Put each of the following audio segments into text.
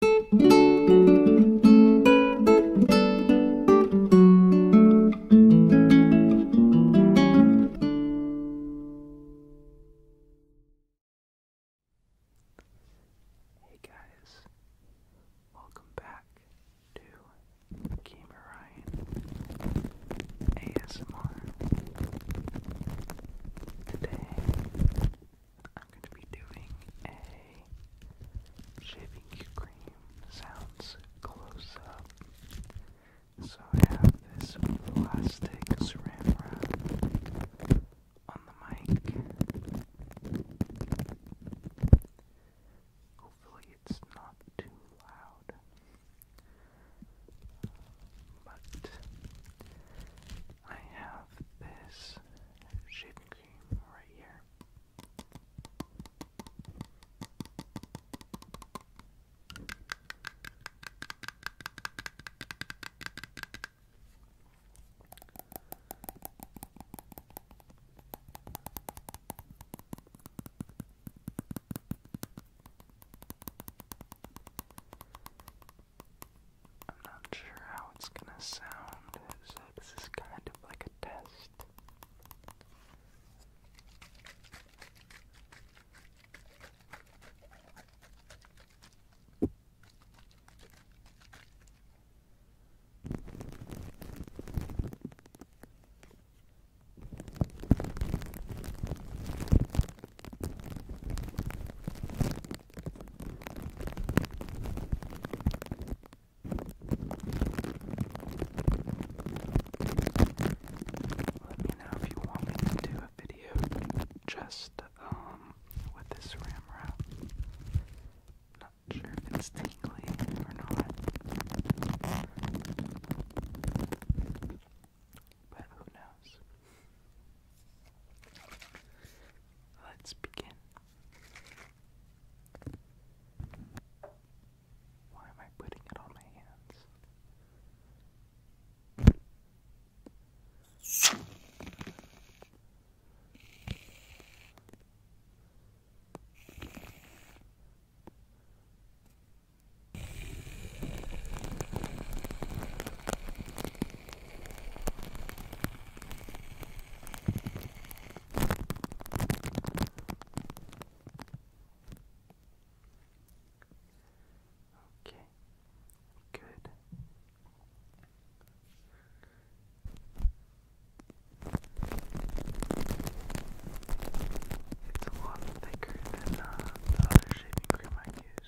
Hey guys, welcome back to Gamer Ryan ASMR. Today I'm going to be doing a shaving cream sounds close up. So I have this plastic saran wrap on the mic. Hopefully it's not too loud. But I have this this shaving cream right here. I'm not sure how it's gonna sound, so this is kind of like a test. Let me know if you want me to do a video just um, with this ram Not sure if it's tingly or not. But who knows? Let's begin. Why am I putting it on my hands? Okay, good. It's a lot thicker than uh, the other shaving cream I use.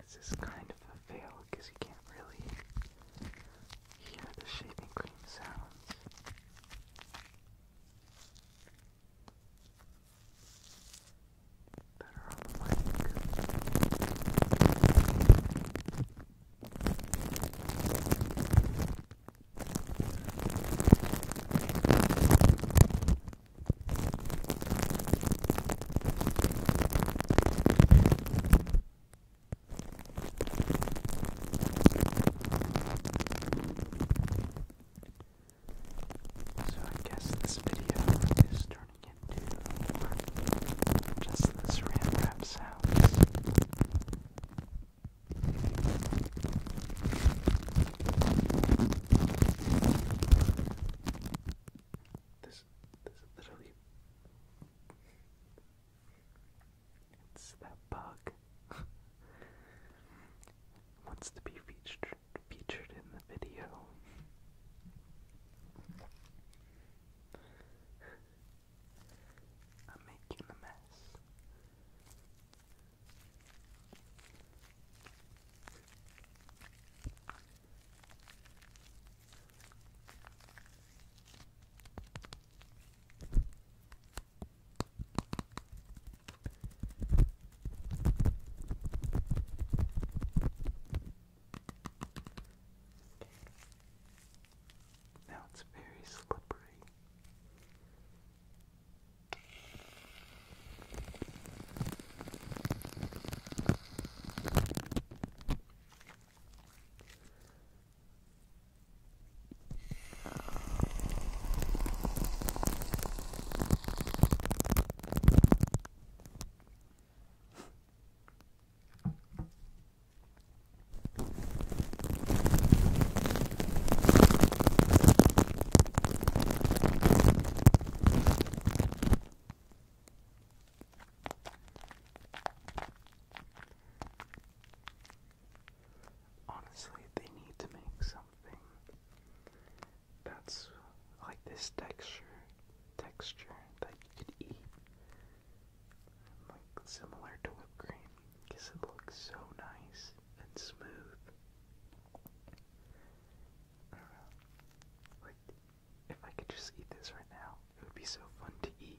This is kind of a fail because you can't really hear the shaving cream sounds better on the mic. Thank so I guess this video is turning into more just this ram rap sounds. This this literally it's that bug. wants to be featured featured in the video. I'm making a mess. Now it's very slippery. Honestly, they need to make some that's like this texture, texture that you could eat, like similar to whipped cream, because it looks so nice and smooth. Like, if I could just eat this right now, it would be so fun to eat.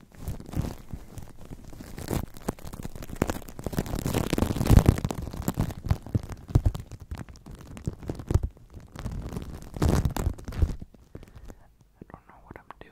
I don't know what I'm doing.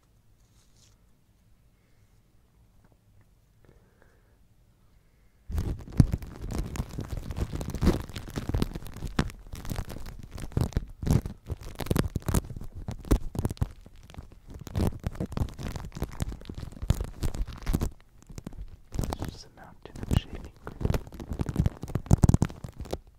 It's just a mountain of shaving cream.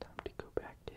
Time to go back in.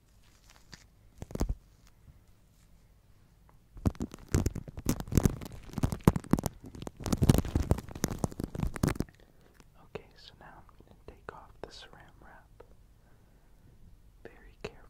Okay, so now I'm going to take off the saran wrap very carefully.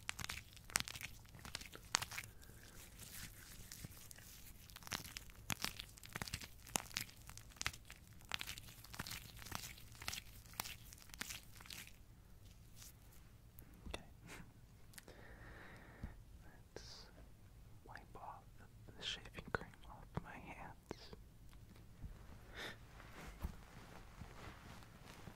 Okay. Let's wipe off the shaving cream off my hands.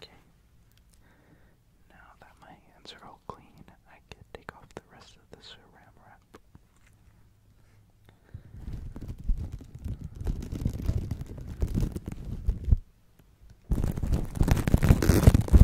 Okay. Now that my hands are all clean, I can take off the rest of the saran wrap.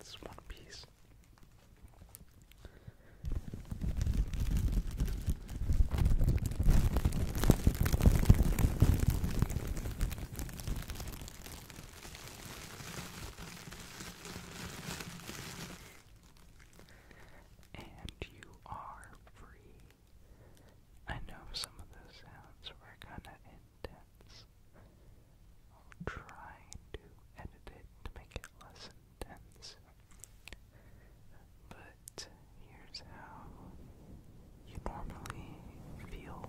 It's one piece. And you are free. I know some of those sounds were kind of intense. I'll try to edit it to make it less intense. But here's how you normally feel.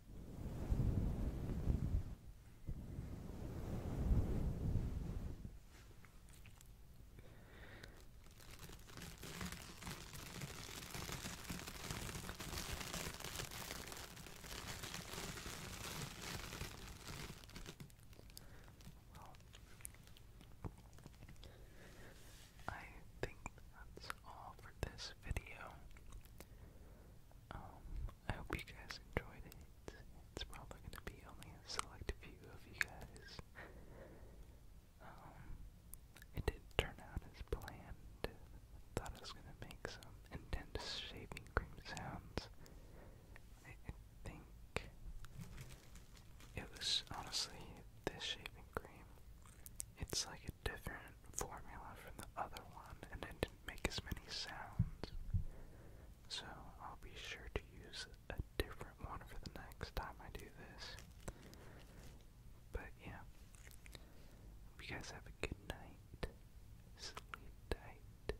Well, I think that's all for this video. Um, I hope you guys enjoyed it. It's probably gonna be only a select few of you guys. Um, it did turn out as planned. Thought I was gonna make some intense shaving cream sounds. I, think it was honestly this shaving cream. It's like different formula from the other one and it didn't make as many sounds. So I'll be sure to use a different one for the next time I do this. But yeah. you guys have a good night. Sleep tight.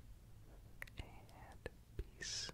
And peace.